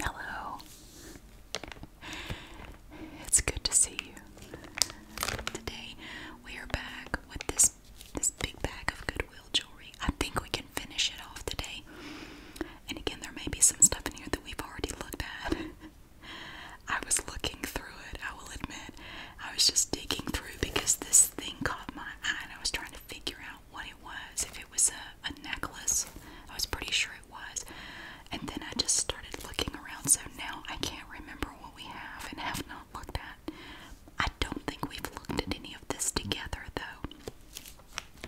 Hello. It's good to see you. Today we are back with this this big bag of Goodwill jewelry. I think we can finish it off today. And again, there may be some stuff in here that we've already looked at. I was looking through it, I will admit. I was just digging through because this thing caught my eye and I was trying to figure out what it was, if it was a, necklace. I was pretty sure it was. And then I just started looking around, so now I can't remember what we have and have not looked at. I don't think we've looked at any of this together though.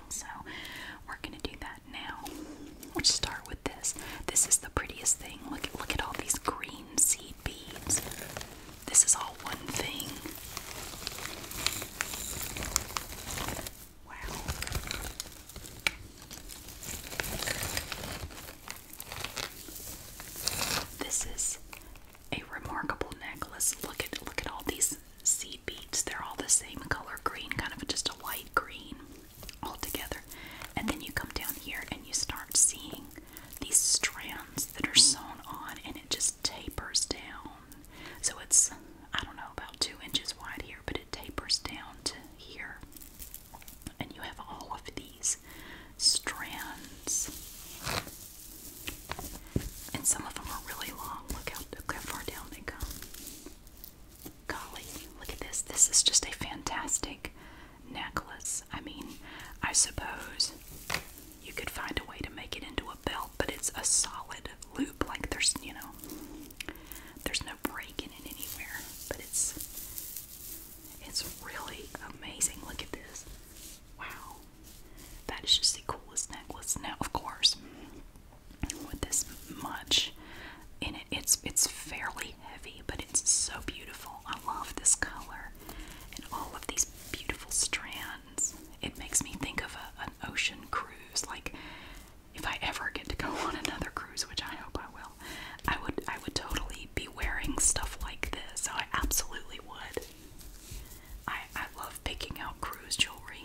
So we're gonna do that now. Let's start with this. This is the prettiest thing. Look look at all these green seed beads. This is all one thing. Wow. This is a remarkable necklace. Look at look at all these seed beads. They're all the same color green, kind of just a light green all together. And then you come down here and you start seeing these strands that are sewn on and it just tapers down. So it's, I don't know, about two inches wide here, but it tapers down to here. And you have all of these strands. And some of them are really long. Look how, look how far down they come. Golly, look at this. This is just a fantastic necklace. I mean, I suppose you could find a way to make it into a belt, but it's a solid loop. Like there's, you know, there's no breaking in it anywhere. But it's it's really amazing. Look at this. Wow. That is just the coolest necklace. Now, of course, with this much in it, it's it's fairly heavy, but it's so beautiful. I love this color and all of these beautiful strands. It makes me think of an ocean cruise. Like if I ever get to go on another cruise, which I hope I will, I would I would totally be wearing stuff like this. So I absolutely would. I I love picking out cruise jewelry.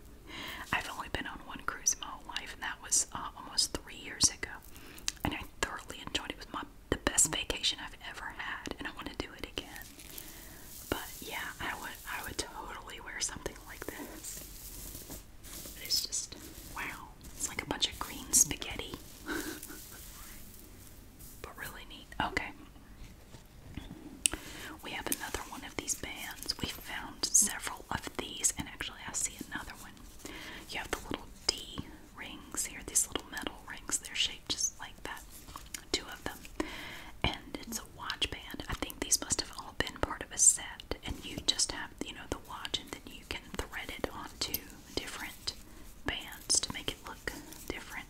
I've only been on one cruise in my whole life, and that was uh, almost three years ago, and I thoroughly enjoyed it. It was my the best vacation I've ever had, and I want to do it again. But yeah, I would I would totally wear something like this. It's just wow. It's like a bunch of green spaghetti. but really neat. Okay. We have another one of these bands. We found several of these, and actually, I see another one. You have the little D rings here, these little metal rings. They're shaped just that. Two of them. And it's a watch band. I think these must have all been part of a set. And you just have, you know, the watch and then you can thread it onto different bands to make it look different.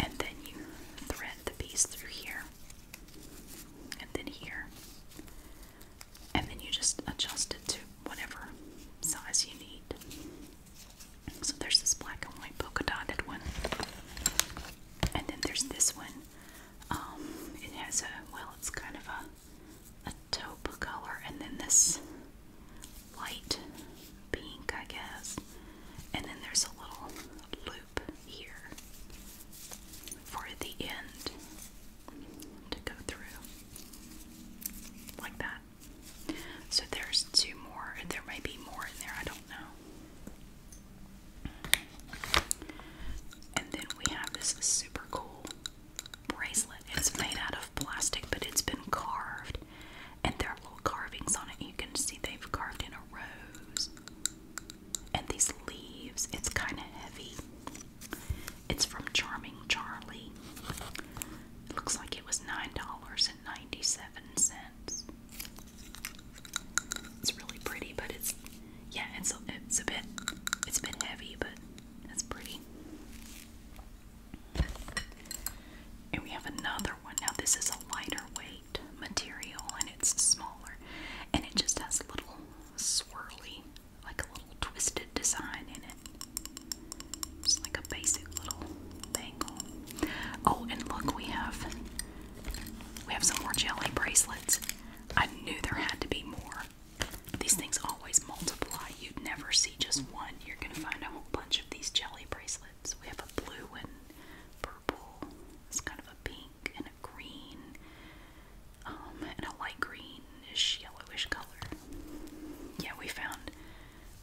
And then you thread the piece through here. And then here. And then you just adjust it to whatever size you need. So there's this black and white polka dotted one. And then there's this one. Um, it has a, well, it's kind of a, a taupe color. And then this light pink, I guess. And then there's a little loop here for the end to go through. Like that. So there's two more. and There may be more in there. I don't know. And then we have this super cool bracelet. It's made out of plastic, but it's been carved. And there are little carvings on it. You can see they've carved in a rose. And these leaves. It's kind of heavy. It's from Charming Charlie. looks like it was $9 2 dollars It's really pretty, but it's yeah, it's it's a bit it's a bit heavy, but that's pretty. And we have another one. Now this is a lighter weight material and it's smaller and it just has a little swirly, like a little twisted design in it. Just like a basic little bangle. Oh, and look, we have we have some more jelly bracelets. I knew there had to be more. These things always multiply. You'd never see just one. You're gonna find a whole bunch of these jelly bracelets. We have a blue one, purple. It's kind of a pink and a green, um, and a light greenish, yellowish color. Yeah, we found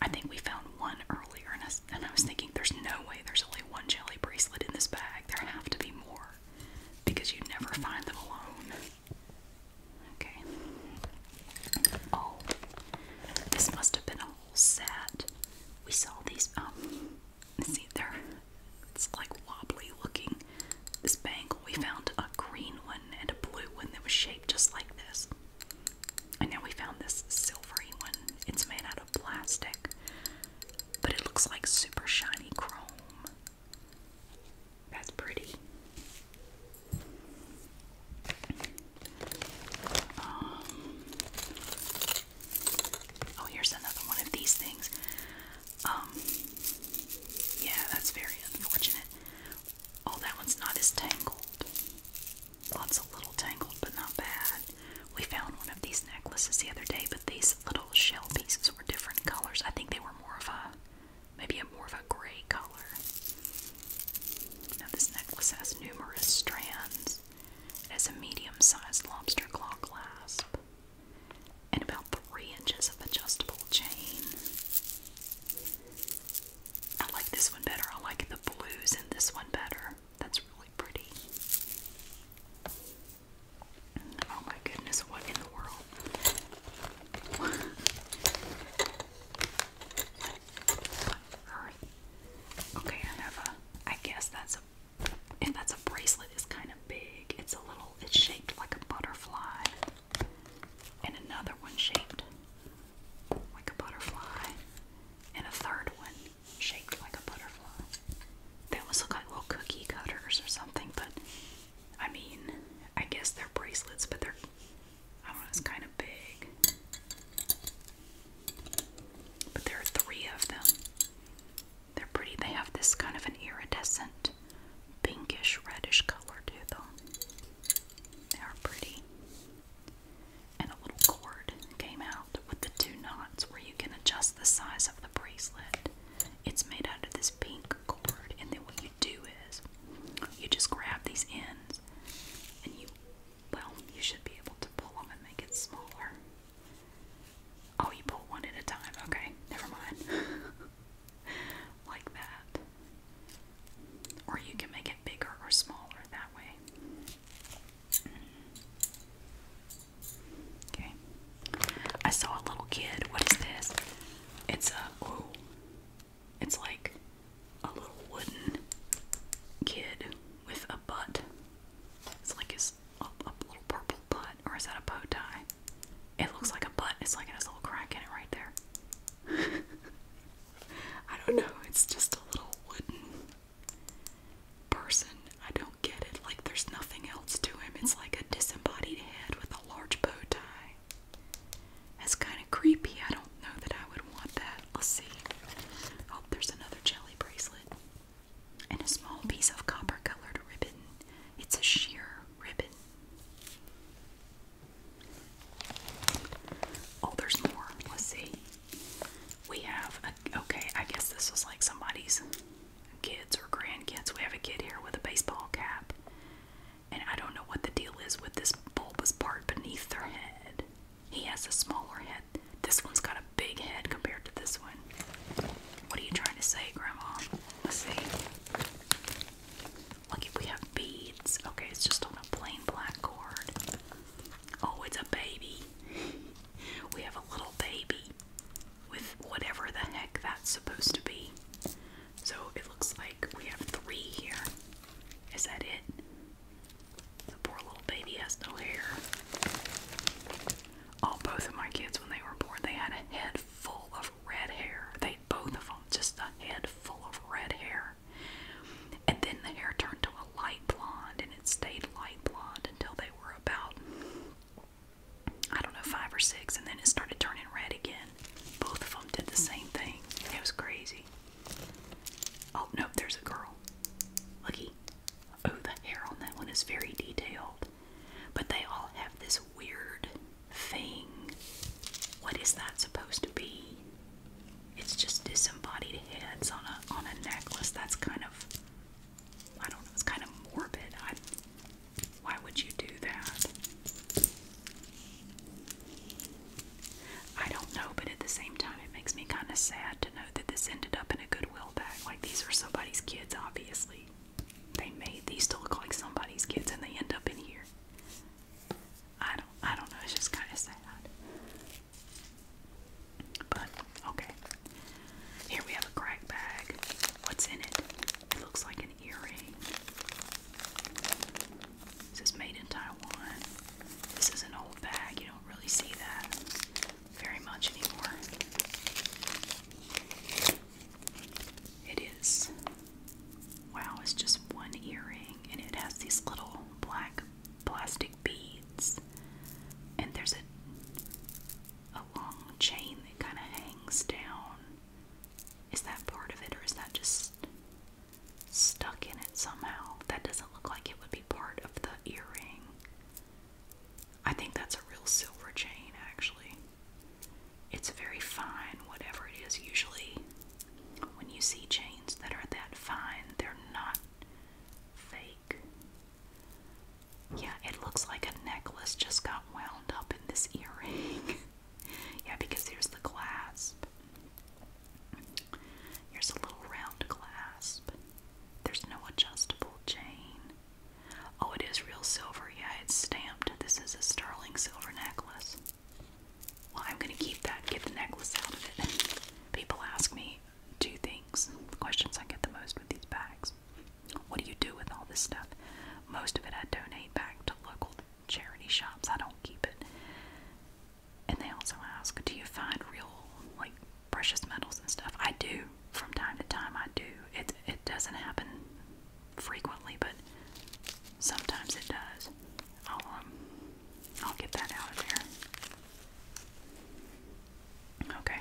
I think we found one earlier, and I, and I was thinking, there's no way there's only one jelly bracelet in this bag. There have to be more because you never find them alone. Okay. Oh, this must have been a whole set. We saw these. Um, see, they're it's like wobbly looking. This bangle, we found a green one and a blue one that was shaped just like this. And now we found this silvery one. It's made out of plastic, but it looks like super shiny chrome. That's pretty. Um, oh, here's another one of these things. Um, yeah, that's very unfortunate. Oh, that one's not as tangled. Lots of little tangles, but not bad. We found one of these necklaces the other day, but these little shell pieces were different colors. I think they were more of a maybe a more of a gray color. Now this necklace has numerous strands. It has a medium-sized lobster claw clasp and about three inches of adjustable chain. I like this one better. I like the blues in this one better. That's really pretty. Oh my goodness, what in the world? Alright. Okay, I have a I guess that's a and that's a bracelet is kind of big. It's a little it's shaped like a butterfly. And another one shaped like a butterfly and a third one shaped like a butterfly. They almost look like little cookie cutters or something, but I mean, I guess they're bracelets, but they're, I don't know, it's kind of big. But there are three of them. They're pretty. They have this kind of an iridescent, pinkish, reddish color to them. They are pretty and a little cord came out with the two knots where you can adjust the size of the bracelet. It's made out of this pink cord, and then what you do is you just grab these ends and you, well, you should be able to pull them and make it smaller. Oh, you pull one at a time. Okay, never mind. like that. Or you can make it bigger or smaller that way. Okay. I saw a little kid. What is this? It's a It's like a little wooden kid with a butt. It's like his a, little purple butt, or is that a bow tie? It looks like a butt. It's like it a little crack in it right there. I don't know. It's just a little wooden person. I don't get it. Like, there's nothing else to him. It's like a disembodied head with a large bow tie. That's kind of creepy. I don't know that I would want that. Let's see. Oh, there's another jelly bracelet. And a small piece of copper colored ribbon. It's a sheer ribbon. Oh, there's more. Let's see. We have a, okay, I guess this was like somebody's kids or grandkids. We have a kid here with a baseball cap. And I don't know what the deal is with this bulbous part beneath their head. He has a smaller head. This one's got a big head compared to this one. What are you trying to say, Grandma? Let's see. Look, if we have beads. Okay, it's just on a plain black cord. Oh, it's a baby. we have a little baby with whatever the heck that's supposed to be. So it looks like we have three here. Is that it? The poor little baby has no hair. All oh, both of my kids, when they were born, they had a head full of red hair. They both of them just a head full of red hair. And then the hair turned to a light blonde and it stayed light blonde until they were about, I don't know, five or six. And then it started turning red again. Both of them did the same thing. It was crazy. Oh, no, there's a girl. Lucky. Oh, the hair on that one is very detailed. But they all have this weird thing. What is that supposed to be? it's just disembodied heads on a on a necklace. That's kind of I don't know. It's kind of morbid. why would you do that? I don't know, but at the same time, it makes me kind of sad to know that this ended up in a Goodwill bag. Like, these are somebody's kids, obviously. They made these to look like somebody's kids, and they end up in here. I don't, I don't know. It's just kind of sad. But okay. Here we have a crack bag. What's in it? It looks like an earring. This is made in Taiwan. This is an old bag. You don't really see that very much anymore. It is. Wow, it's just one earring and it has these little black plastic beads, and there's a, a long chain that kind of hangs down. Is that part of it, or is that just stuck in it somehow? That doesn't look like it would be part of the earring. I think that's a real silver chain, actually. It's very fine, whatever it is. Usually, when you see chains that are that fine, they're not fake. Yeah, it looks like a necklace just got wound up in this earring. yeah, because there's the clasp. Here's a little round clasp. There's no adjustable chain. Oh, it is real silver. Yeah, it's stamped. This is a sterling silver necklace. Well, I'm going to keep that, get the necklace out of it. People ask me, two things. The questions I get the most with these bags. What do you do with all this stuff? Most of it I donate back to local charity shops. I don't keep it. And they also ask, do you find real like precious metals and stuff? I do. From time to time I do. It it doesn't happen frequently, but sometimes it does. I'll um I'll get that out of there. Okay.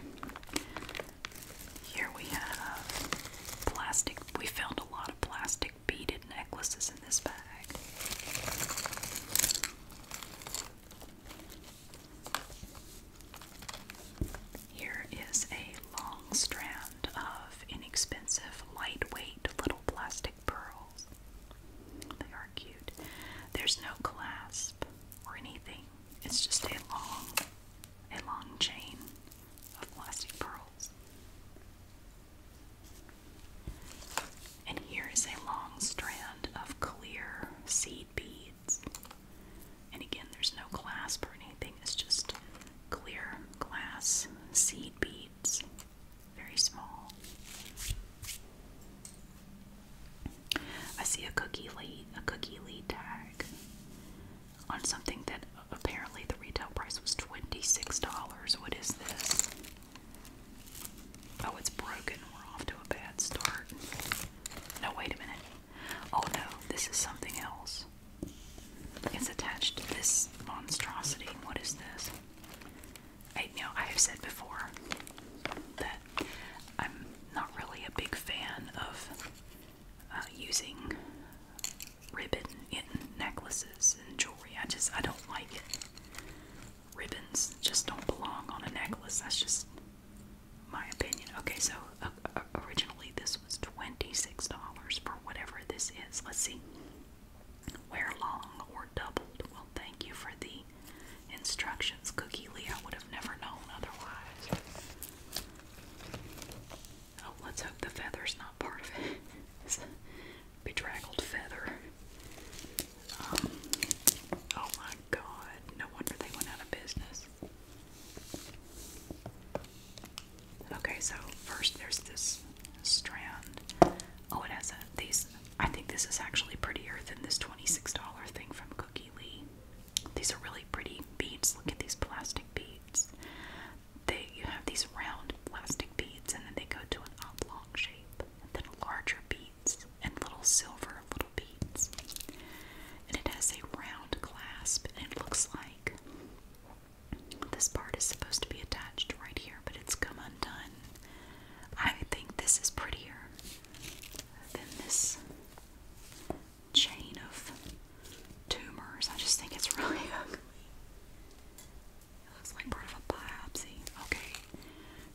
Here we have plastic. We found a lot of plastic beaded necklaces in this bag. Here is a long strand of inexpensive, lightweight little plastic pearls. They are cute. There's no clasp, or anything. It's just a long, a long chain of plastic pearls. And here is a long strand of clear seed beads. And again, there's no glass or anything, it's just clear glass seed beads. Very small. I see a cookie lead, a cookie lead tag on something that apparently the retail price was $26. What is this? Oh, it's broken. We're off to a bad start. No, wait a minute. Oh no, this is something else. It's attached to this monstrosity. What is this? I, you know, I have said before that I'm not really a big fan of uh, using ribbon in necklaces and jewelry. I just I don't like it. Ribbons just don't belong on a necklace. That's just my opinion. Okay, so uh, uh, originally this was $26 for whatever this is. Let's see. Wear long or doubled. Well, thank you for the instructions Cookie Leo would have never known otherwise. Oh, let's hope the feather's not part of it. It's feather. Um, oh my god, no wonder they went out of business. Okay, so first there's this strand. Oh, it has a, these, I think this is actually prettier than this $26 thing from Cookie Lee. These are really pretty beads. Look at these plastic beads. They you have these round plastic beads and then they go to an oblong shape. And then larger beads and little silver little beads. And it has a round clasp and it looks like this part is supposed to be attached right here, but it's come undone. I think this is prettier than this chain of tumors. I just think it's really ugly. It looks like part of a biopsy. Okay,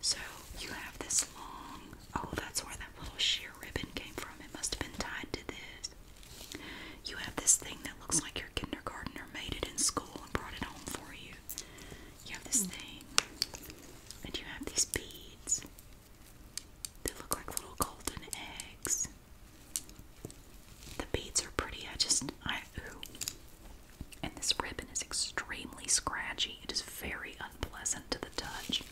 so you have this long. Oh, that's where that little sheer ribbon came from. It must have been tied to this. You have this thing that looks like your kindergartner made it in school and brought it home for you. You have this thing, and you have these beads. They look like little golden eggs. The beads are pretty. I just, I, ooh. And this ribbon is extremely scratchy. It is very unpleasant to the touch.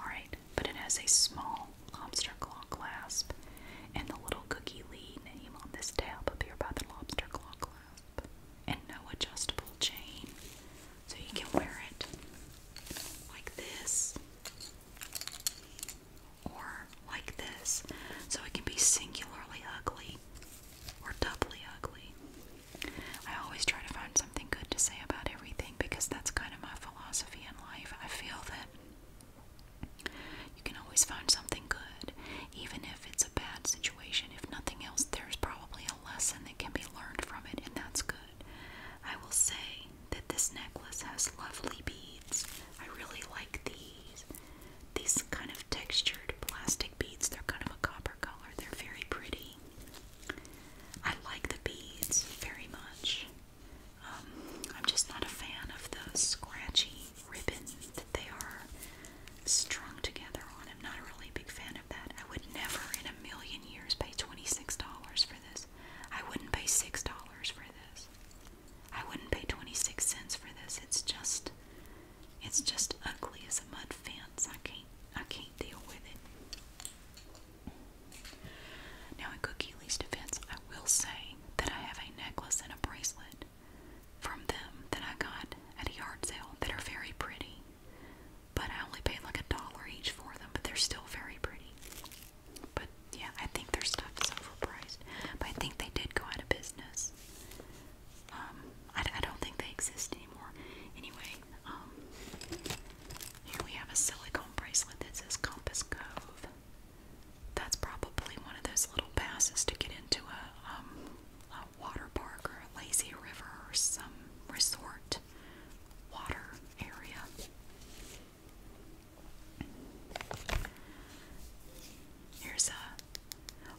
Alright, but it has a small lobster claw clasp and the little cookie lead name on this tab up here by the lobster claw clasp and no adjustable chain. So you can wear it like this or like this. So it can be singularly ugly or doubly ugly. I always try to find something good to say about everything because that's kind of my philosophy in life. I feel that you can always find something good, even if it's a bad situation. If nothing else, there's probably a lesson that can be learned from it, and that's good. I will say that this necklace has lovely beads. I really like these. These kind of textured plastic beads, they're kind of a copper color. They're very pretty. I like the beads very much. Um, I'm just not a fan of the scratchy ribbon that they are strung together on. I'm not a really big fan of that. I would never in a million years pay $26 for this. I wouldn't pay $6 for this. I wouldn't pay 26 cents for this. It's just it's just ugly as a mud fence. I can't I can't deal with it. Now in Cookie Lee's defense, I will say that I have a necklace and a bracelet from them that I got at a yard sale that are very pretty. But I only paid like a dollar each for them, but they're still very pretty. But yeah, I think their stuff is overpriced. But I think they did go out of business. Um, I, I don't think they exist anymore. Anyway, um, here we have a silicone bracelet that says Compass Cove. That's probably one of those little passes to get into a, um, a water park or a lazy river or some resort water area. Here's a.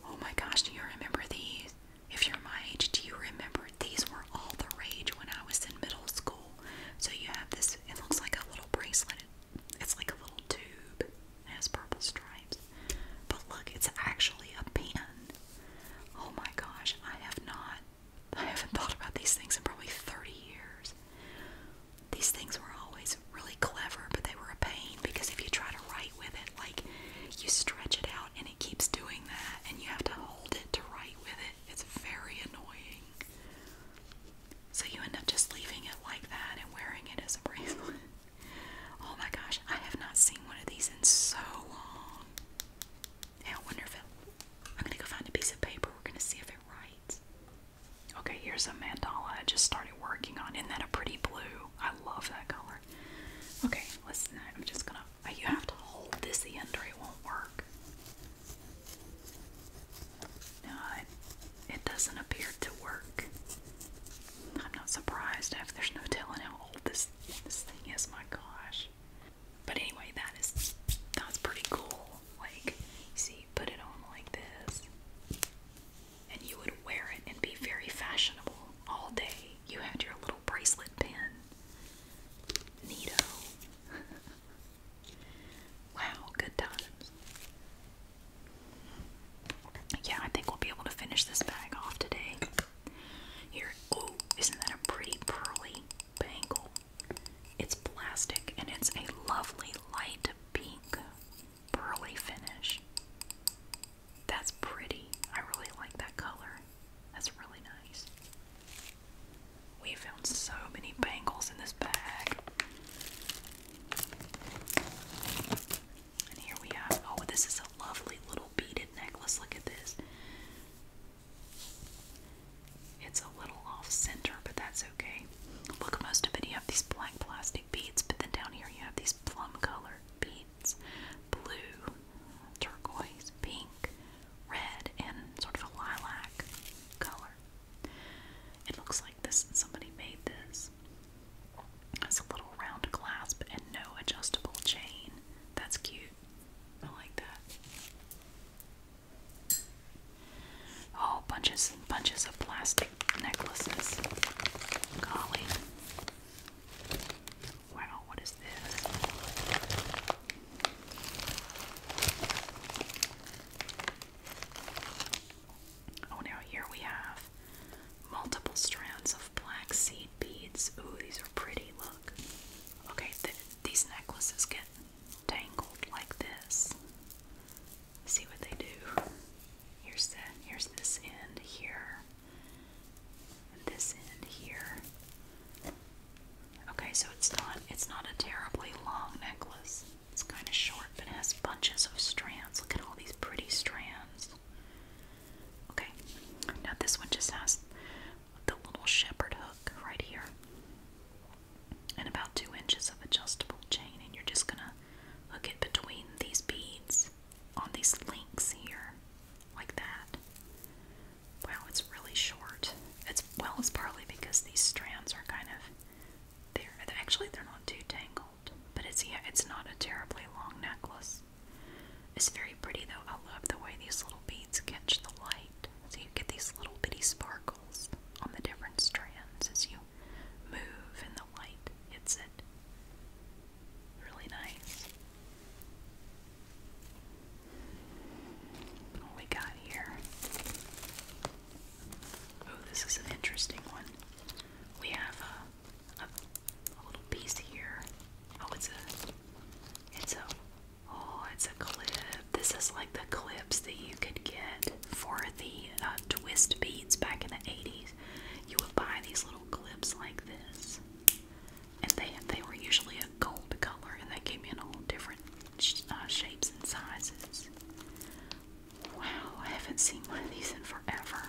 Oh my gosh, do you remember these? If you're my age, do you remember these were all the rage when I was in middle school? So you have this, it looks like a little bracelet. It's like a little tube. It has purple stripes. But look, it's actually a pen. Oh my gosh, I have not I haven't thought about these things in probably 30 years. These things were always really clever, but they were a pain because if you try to write with it, like you stretch it out and it keeps doing that, and you have to hold it to write with it. It's very annoying. So you end up just leaving it like that and wearing it as a bracelet. oh my gosh, I have not seen one of these in so long. And I wonder if it I'm gonna go find a piece of paper. We're gonna see if it writes. Okay, here's a mandala I just started working on. Isn't that a pretty blue? I love that color. Okay, listen, I'm just gonna. Uh, you have to hold this in or it won't work. No, it, doesn't appear to work. I'm not surprised if there's no telling how old this this thing is. My gosh. But anyway, that is that's pretty cool. Like, see, you put it on like this, and you would wear it and be very fashionable all day. You had your little bracelet pin. Neato. wow, good times. Yeah, I think we'll be able to finish this bag off today. Here, oh, isn't that a pretty pearly? bangle. It's plastic and it's a lovely light pink pearly finish. That's pretty. I really like that color. That's really nice. We found so many bangles in this bag. And here we have, oh, this is a lovely little beaded necklace. Look at this. It's a little off center, but that's okay. Look, most of it you have these black plastic beads, but then down here you have these plum color beads blue, turquoise, pink, red, and sort of a lilac color. It looks like this somebody made this. It's a little round clasp and no adjustable chain. That's cute. I like that. Oh, bunches and bunches of plastic necklaces. Golly. Wow, what is this? Oh, now here we have multiple strands of black seed beads. Ooh, these are pretty. Look. Okay, these necklaces get tangled like this. See what they do. Here's that. here's this end here. this end here. Okay, so it's not it's not a terribly long necklace. It's kind of short, but it has bunches of strands. Look at all these pretty strands. Okay, now this one just has the little shepherd hook right here, and about two inches of adjustable chain, and you're just gonna hook it between these beads on these links here, like that. Wow, it's really short. It's well, it's partly because these strands are kind of they actually they're not too tangled, but it's yeah, it's not a terribly long necklace. It's very pretty though. I love the way these little beads catch the light. So you get these little bitty sparkles on the different strands as you move and the light hits it. Really nice. What we got here? Oh, this is an interesting one. We have a, little piece here. Oh, it's a it's a Oh, it's a clip. This is like the clips that you could get for the uh, twist beads back in the 80s. You would buy these little clips like this. And they, they were usually a gold color, and they came in all different uh, shapes and sizes. Wow, I haven't seen one of these in forever.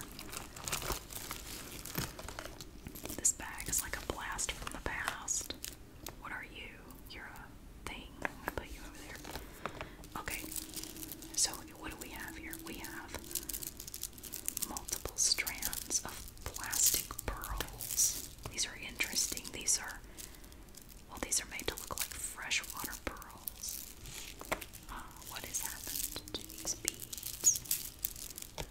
This bag is like a blast from the past. What are you? You're a thing. I put you over there. Okay. So what do we have here? We have multiple strands of plastic pearls. These are interesting. These are well, these are made to look like freshwater pearls. Ah, what has happened to these beads?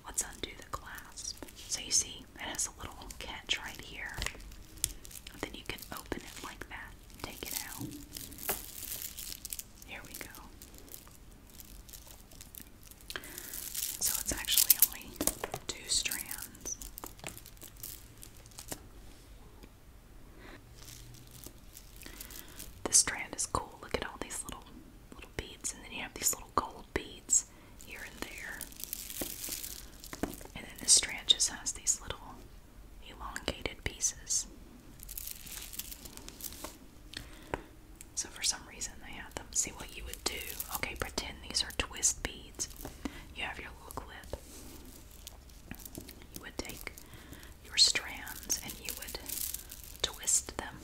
Let's undo the clasp. So you see see it has a little catch right here. then you can open it like that. Take it out. Here we go. So it's actually only two strands. This strand is cool. Look at all these little little beads and then you have these little gold beads here and there. And then this strand just has these little elongated pieces. So for some reason they had them. See what you would do. Okay, pretend these are twist beads. You have your little clip. You would take your strands and you would twist them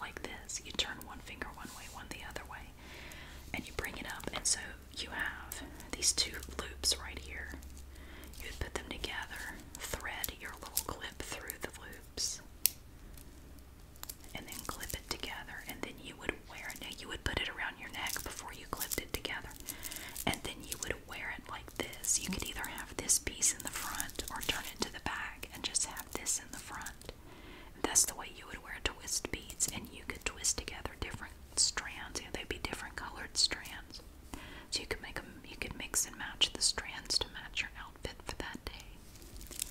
like this. You turn one finger one way, one the other way, and you bring it up. And so you have these two loops right here. You would put them together, thread your little clip through the loops, and then clip it together. And then you would wear it. you would put it around your neck before you clipped it together. And then you would wear it like this. You could either have this piece in the front or turn it to the back and just have this in the front. That's the way you would wear twist beads, and you could twist together different strands. You they'd be different colored strands, so you could make them. You could mix and match the strands to match your outfit for that day.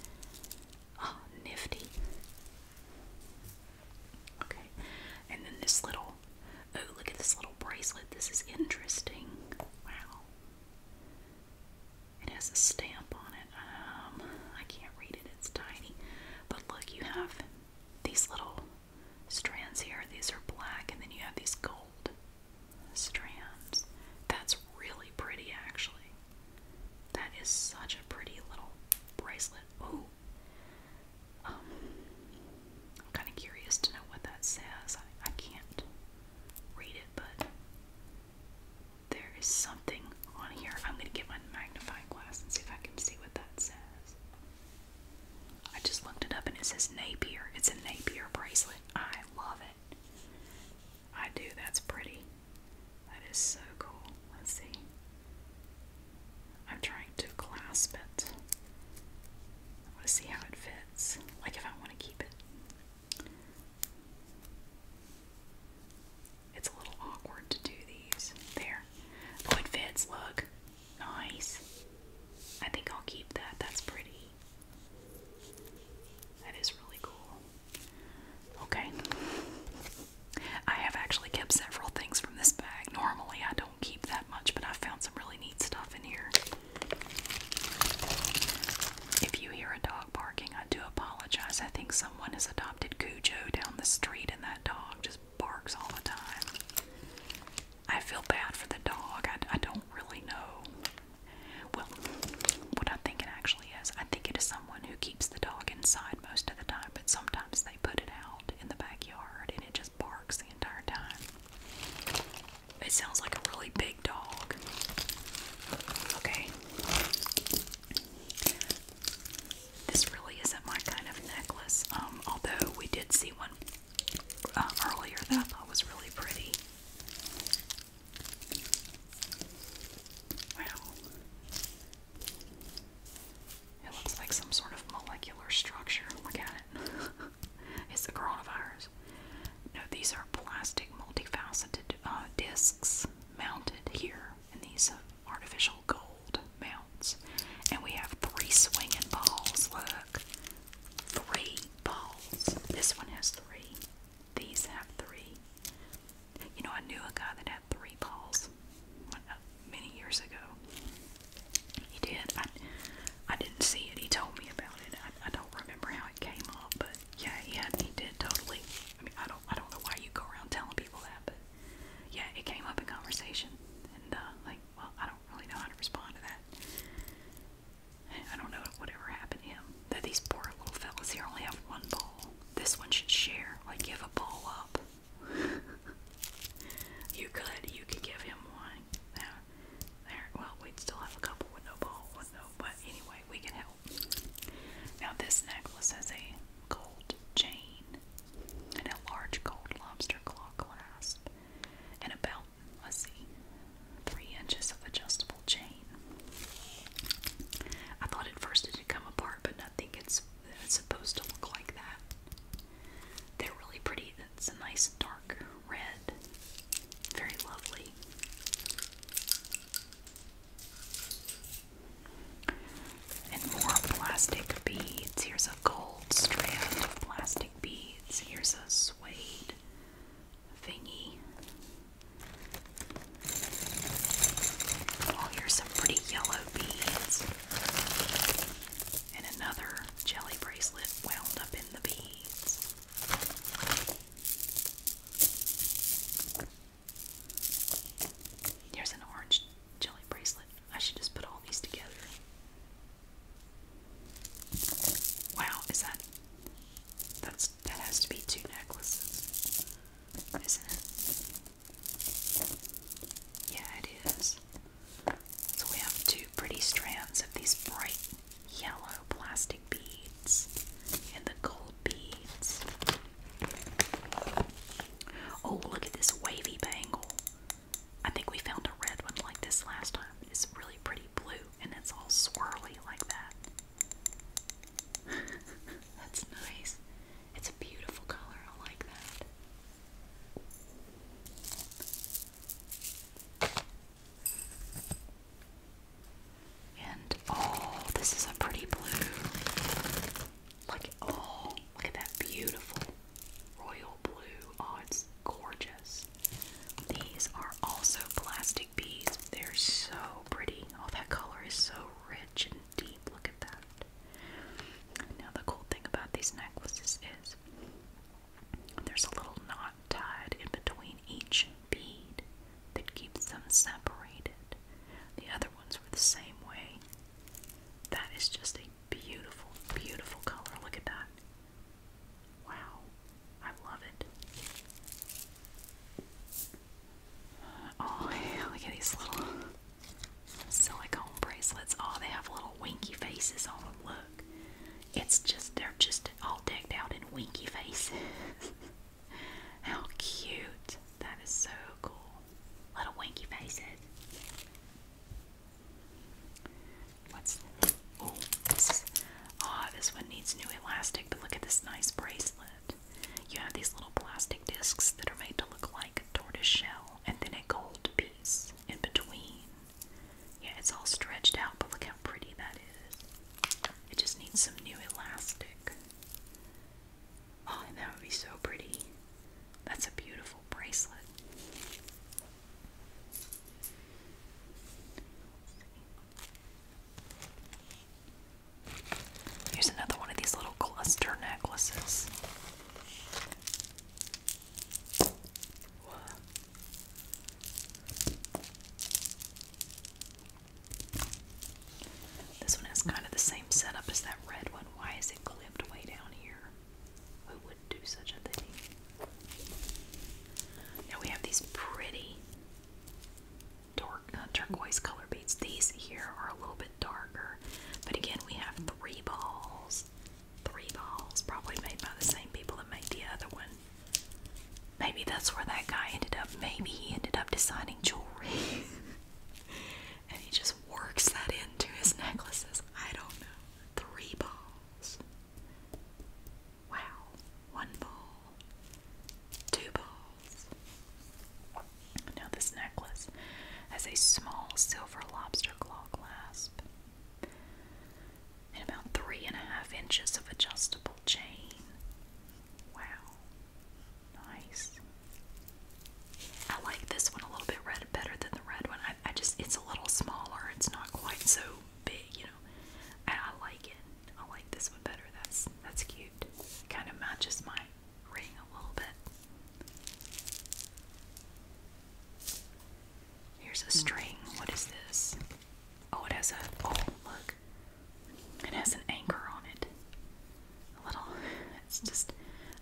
Oh, nifty. Okay, and then this little. Oh, look at this little bracelet. This is interesting. Wow. It has a stamp on it. Um, I can't read it's tiny. But look, you have these little strands here. These are black, and then you have these gold strands. That's really pretty, actually. That is such a pretty little bracelet. Ooh. Um, I'm kind of curious to know what that says. I, can't read it, but there is something on here. I'm going to get my magnifying glass and see if I can see I just looked it up and it says Napier. It's a Napier bracelet. I love it. I do. That's pretty. That is so cool. Let's see. I'm trying to clasp it. I want to see how it fits. Like if I want to keep it. It's a little awkward to do these. There. But it fits. Look. Nice. I think I'll keep that. That's pretty. That is really cool. Okay. I have actually kept several things from this bag. Normally, I don't keep that much, but I found some really neat stuff in here. If you hear a dog barking, I do apologize. I think someone has adopted Cujo down the street, and that dog just barks all the time. I feel bad for the dog. I, I don't really know. Well, what I think it actually is, I think it is someone who keeps the dog inside most of the time, but sometimes they put it out in the backyard and it just barks the entire time. It sounds like a really big dog. Okay. This really isn't my kind of necklace, um, although we did see one uh, earlier that I thought was really pretty. Wow. It looks like some sort of molecular structure. Look at it. it's a coronavirus. No, these are plastic multifaceted uh, discs mounted here, and these uh, artificial gold mounts. And we have three swinging balls. Look, three balls. This one has three. These have three. You know, I knew a guy that had three balls uh, many years ago. He did. I, I didn't see it. He told me about it. I, I don't remember how it came up, but yeah, he He did totally. I mean, I don't. I don't know why you go around telling people that, but yeah, it came up in conversation, and uh, like, well, I don't really know how to respond to that. I don't know whatever happened to him. That these poor little fellas here only have one ball. This one should share. Like, give a ball up. you could. You could give him one. Now, there. Well, we'd still have a couple with no ball, with no. But anyway, we can help. Now, this necklace has a gold chain and a large gold lobster claw clasp, and about, let's see, three inches of adjustable chain. I thought at first it had come apart, but I think it's, it's supposed to look like that. They're really pretty. It's a nice dark red. Very lovely. And more plastic beads. Here's a gold strand of plastic beads. Here's a suede thingy. Oh, here's some pretty yellow beads. And another jelly bracelet wound up in the beads. Here's an orange jelly bracelet I should just put all these together. Wow, is that that's that has to be two necklaces, isn't it? Yeah, it is. So we have two pretty strands of these bright yellow plastic beads and the gold beads. Oh, look at this wavy bangle. I think we found a red one like this last time. It's really pretty blue and it's all swirly like that. That's nice. It's a beautiful color. I like that. And oh, this is a pretty blue. Look, oh, look at that beautiful royal blue. Oh, it's gorgeous. These are also plastic beads. They're so pretty. All oh, that color is so rich and deep. Look at that. Now, the cool thing about these necklaces is there's a little knot tied in between each bead that keeps them separated. The other ones were the same way. That is just a beautiful, beautiful color. Look at that. Wow, I love it. Oh, look at these little silicone bracelets. Oh, they have little winky faces on them. Look, it's just, they're just all decked out in winky faces. How cute. That is so cool. Little winky faces this? Oh, this one needs new elastic, but look at this nice bracelet. You have these little plastic discs that are made to look like a tortoise shell, and then a gold piece in between. Yeah, it's all stretched out, but look how pretty that is. It just needs some new elastic. Oh, that would be so pretty. That's a beautiful bracelet. Here's another one of these little cluster necklaces. This one has kind of the same setup as that red one. Why is it clipped way down here? We would do such a thing? Now we have these pretty dark, uh, turquoise color beads. These here are a little bit darker, but again, we have three balls. Three balls, probably made by the same people that made the other one. Maybe that's where that guy ended up. Maybe he ended up designing jewelry. and he just works that into his necklaces. I don't know. Three balls. Wow. One ball. Two balls. Now, this necklace has a small silver lobster claw clasp and about three and a half inches of adjustable chain. Wow. Nice. I like this one a little bit red, better than the red one. I, just it's a little smaller. It's not quite so big, you know. I like it. I like this one better. That's that's cute. Kind of matches my ring a little bit. Here's a string. What is this? Oh, it has a oh look. It has an anchor on it. A little. It's just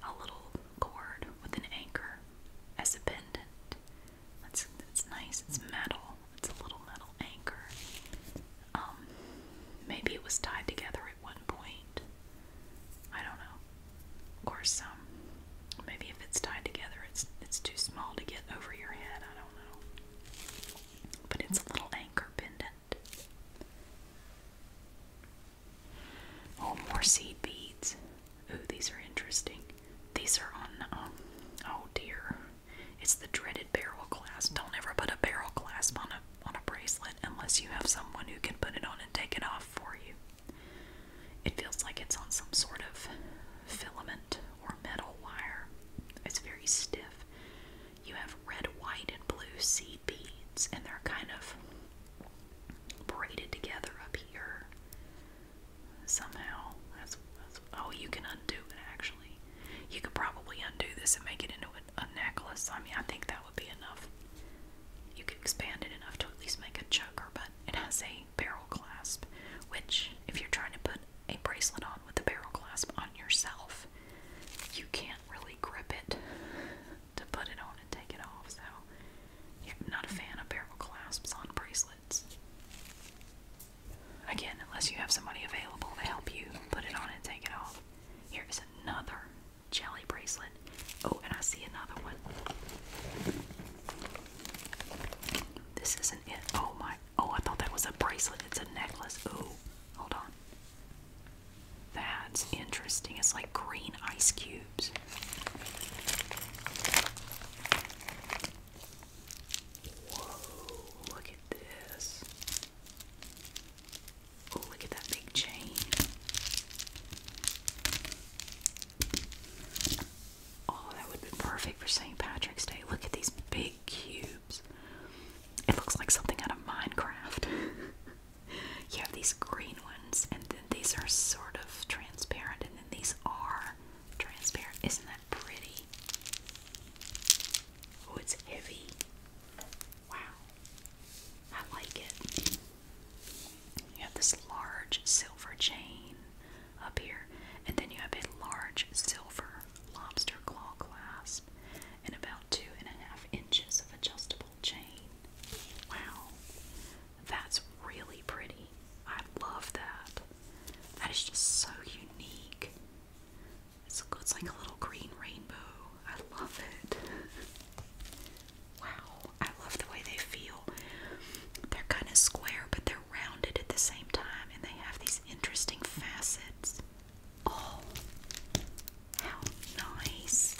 a little cord with an anchor as a pendant. That's it's nice. It's metal. It's a little metal anchor. Um, maybe it was tied together at one point. I don't know. Of course, um, maybe if it's tied together, it's it's too small to get over your head. I don't know. But it's a little anchor pendant. Oh, more seed beads. Ooh, these are interesting. These are on, um, oh dear. It's the dreaded barrel clasp. Don't ever put a barrel clasp on a, on a bracelet unless you have someone who can put it on and take it off for you. It feels like it's on some sort of filament or metal wire. It's very stiff. You have red, white, and blue seed beads, and they're kind of braided together up here somehow. That's, that's oh, you can undo it actually. You could probably undo this and make it into a, a necklace. I mean, I think that would be enough. You could expand it enough to at least make a choker, but it has a barrel clasp, which if you're trying to put a bracelet on with a barrel clasp on yourself, you can't really grip it to put it on and take it off. So, yeah, i not a fan of barrel clasps on bracelets. Again, unless you have somebody available to help you put it on and take it off. Here is another jelly bracelet. Oh, and I see another one. This isn't it. Oh my. Oh, I thought that was a bracelet. It's a necklace. Oh, hold on. That's interesting. It's like green ice cube. Whoa, look at this. Oh, look at that big chain. Oh, that would be perfect for St. Patrick's Day. Look at these big cubes. It looks like something out of Minecraft. you have these green ones, and then these are sort of transparent, these are transparent. Isn't that pretty? Oh, it's heavy. Wow. I like it. You have this large silver chain up here, and then you have a large silver lobster claw clasp, and about two and a half inches of adjustable chain. Wow. That's really pretty. I love that. That is just so unique. It's, it's like a little green rainbow. I love it. Wow. I love the way they feel. They're kind of square, but they're rounded at the same time, and they have these interesting facets. Oh, how nice!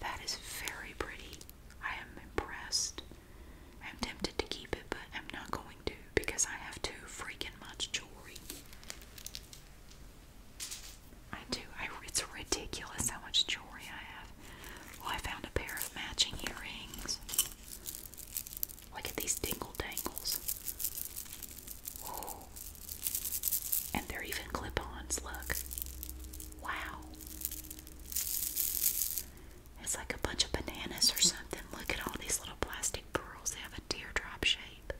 That is very pretty. I am impressed. I'm tempted to keep it, but I'm not going to because I have too freaking much jewelry. I do. I, it's ridiculous how much jewelry I have. Well, oh, I found a pair of matching earrings. Look at these dingle dangles. Oh. And they're even clip ons, look. Wow. It's like a bunch of bananas or something. Look at all these little plastic pearls. They have a teardrop shape.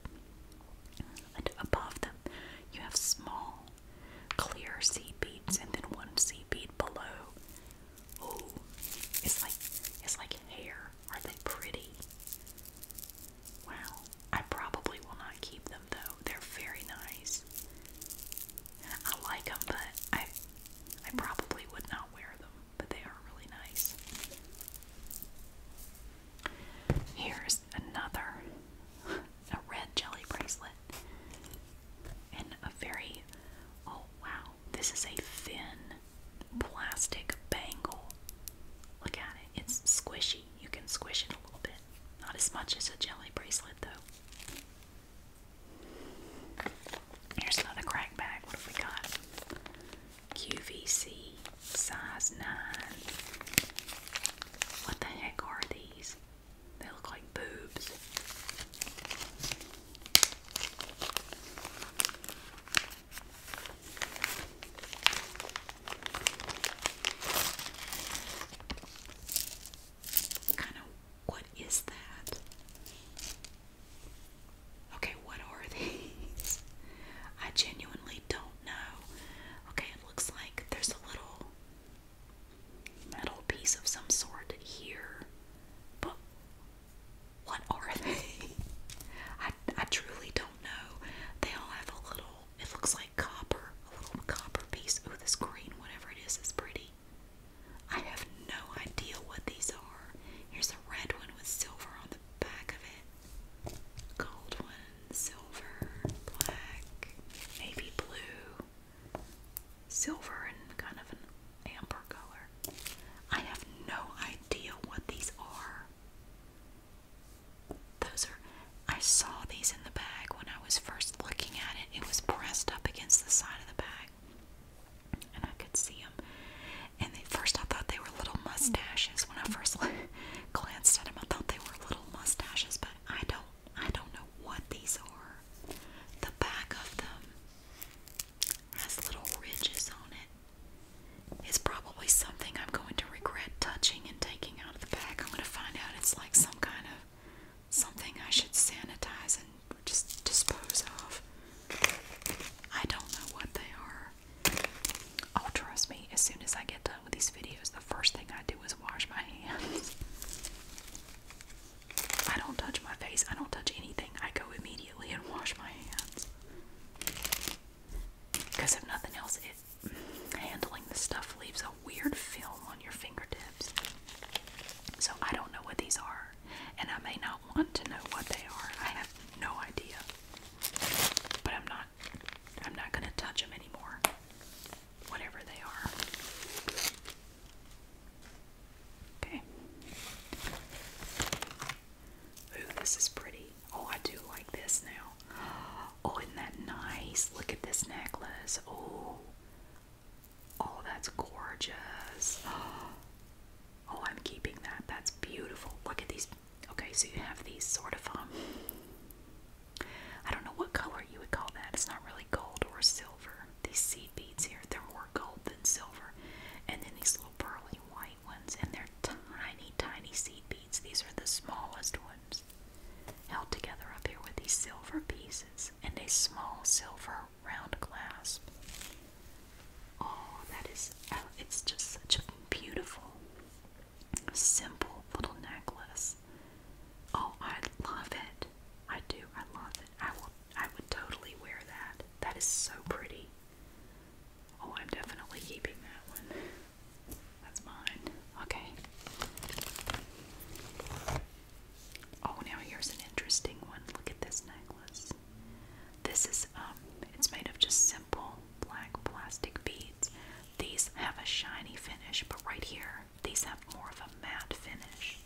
And above them, you have small, clear seed beads, and then one seed bead below. Oh, it's like it's like hair. Are they pretty? Wow. I probably will not keep them though. They're very nice. I like them, but I I probably would not wear them, but they are really nice. Here's another a red jelly bracelet. And a very oh wow, this is a thin plastic bangle. Look at it. It's squishy. You can squish it a little bit. Not as much as a jelly bracelet, though. Here's another crack bag. What have we got? QVC, size 9. What the heck are these? They look like boobs kind of what is that? Okay, what are these? I genuinely don't know. Okay, it looks like there's a little metal piece of some sort here. But what are they? I I truly don't know. They all have a little it looks like copper, a little copper piece. Oh, this green, whatever it is, is pretty. I have no idea what these are. Here's a red one with silver on the back of it. Gold one, silver, black, maybe blue, silver, and kind of an amber color. I have no idea what these are. Those are, I saw these in the bag when I was first looking at it. It was pressed up against the side of the bag, and I could see them. And at first, I thought they were little mustaches. When I first glanced at them, I thought they were little mustaches, but I don't, I don't know what these are. The back of them has little ridges on it. It's probably something I'm going to regret touching and taking out of the bag. I'm going to find out it's like some kind of something I should sanitize and just dispose of. I don't know what they are. Oh, trust me, as soon as I get done with these videos, the first thing I do is wash my hands. I don't touch my face, I don't touch anything. I go immediately and wash my hands. Because if nothing else, it handling the stuff leaves a weird film on your fingertips. So I don't know what these are, and I may not want to know what they are. I have no idea. But I'm not I'm not going to touch them anymore. Whatever they are. Okay. Ooh, this is pretty. Oh, I do like this now. Oh, isn't that nice? Look at this necklace. Oh, Oh, that's gorgeous. Oh, I'm keeping that. That's beautiful. Look at these. Okay, so you have these sort of, um, I don't know what color you would call that. It's not really gold or silver. These seed beads here, they're more gold than silver. And then these little pearly white ones, and they're tiny, tiny seed beads. These are the smallest ones held together up here with these silver pieces and a small silver round clasp. Oh, that is, uh, it's just such a beautiful, simple little necklace. Oh, I love it. I do. I love it. I will, I would totally wear that. That is so pretty. Oh, I'm definitely keeping that one. That's mine. Okay. Oh, now here's an interesting one. Look at this necklace. This is um it's made of just simple black plastic beads. These have a shiny finish, but right here, these have more of a matte finish.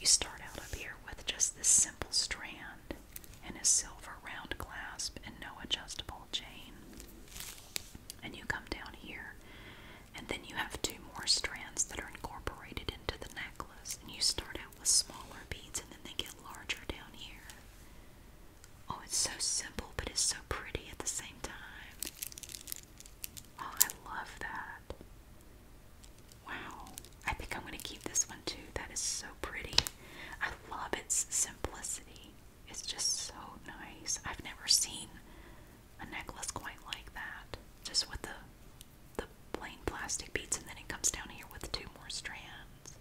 You start out up here with just this simple strand and a silver round clasp and no adjustable chain. And you come down here and then you have two more strands that are incorporated into the necklace. And you start out with smaller beads and then they get larger down here. Oh, it's so simple, but it's so pretty at the same time. Oh, I love that. Wow. I think I'm going to keep this one too. That is so pretty. I love its simplicity. It's just so nice. I've never seen a necklace quite like that, just with the the plain plastic beads, and then it comes down here with two more strands.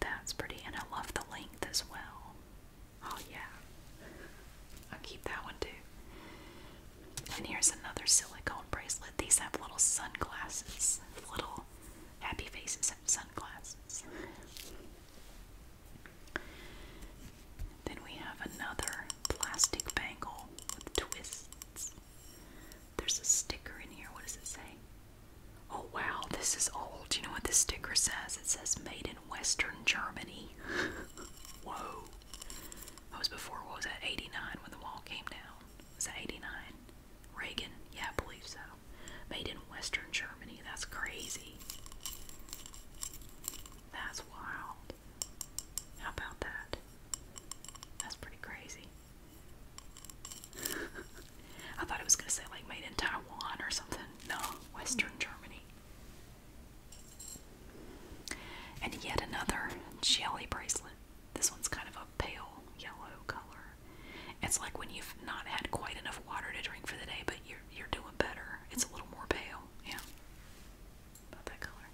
That's pretty, and I love the length as well. Oh yeah, I'll keep that one too. And here's another silicone bracelet. These have little sunglasses, little happy faces sunglasses. Then we have another plastic bangle with twists. There's a sticker in here. What does it say? Oh wow, this is old. You know what this sticker says? It says made in Western Germany. Whoa. That was before, what was that, 89 when the wall came down? Was that 89? Reagan? Yeah, I believe so. Made in Western Germany. That's crazy. That's wild. How about that? That's pretty crazy. I thought it was going to say like made in Taiwan or something. No, Western Germany. And yet another jelly bracelet. This one's kind of a pale yellow color. It's like when you've not had quite enough water to drink for the day, but you're you're doing better. It's a little more pale, yeah that color.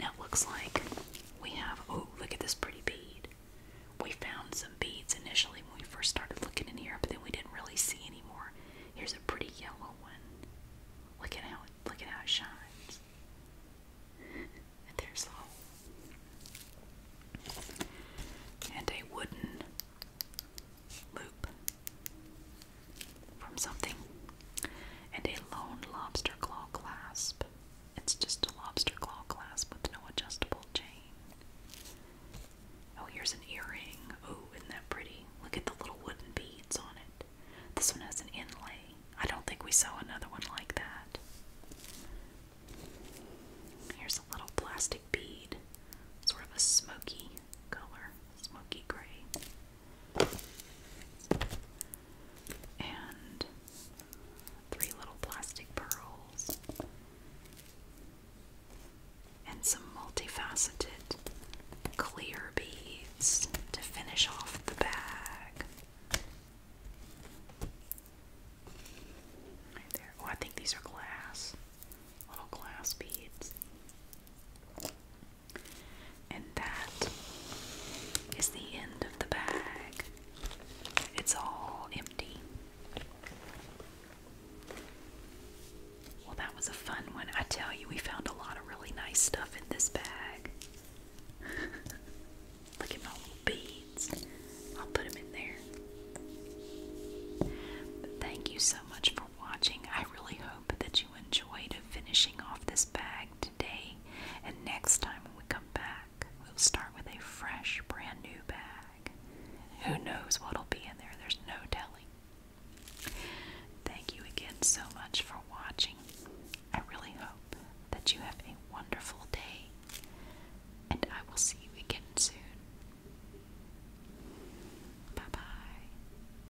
Now it looks like we have, oh, look at this pretty bead. We found some beads initially when we first started looking in here, but then we didn't really see anymore. Here's a pretty yellow one. Look at how it, look at how it shines. And there's the And a wooden loop from something, and a lone lobster claw clasp. It's just a lobster claw clasp with no adjustable chain. Oh, here's an earring. Oh, isn't that pretty? Look at the little wooden beads on it. This one has an inlay. I don't think we saw another one like that. Here's a little plastic bead, sort of a smoky color, smoky gray and three little plastic pearls, and some multifaceted clear beads to finish off the bag. Right there. Oh, I think these are glass. Little glass beads. And that is the end of the bag. It's all empty. Well, that was a fun one. I tell you, we found a lot of really nice stuff in this bag. Look at my little beads. I'll put them in there. thank you so much for watching. I really hope that you enjoyed finishing off this bag today. And next time when we come back, we'll start with a fresh, brand new bag. Who knows what'll be in there? There's no telling. Thank you again so much for watching. I really hope that you have a wonderful day, and I will see you again soon. Bye bye.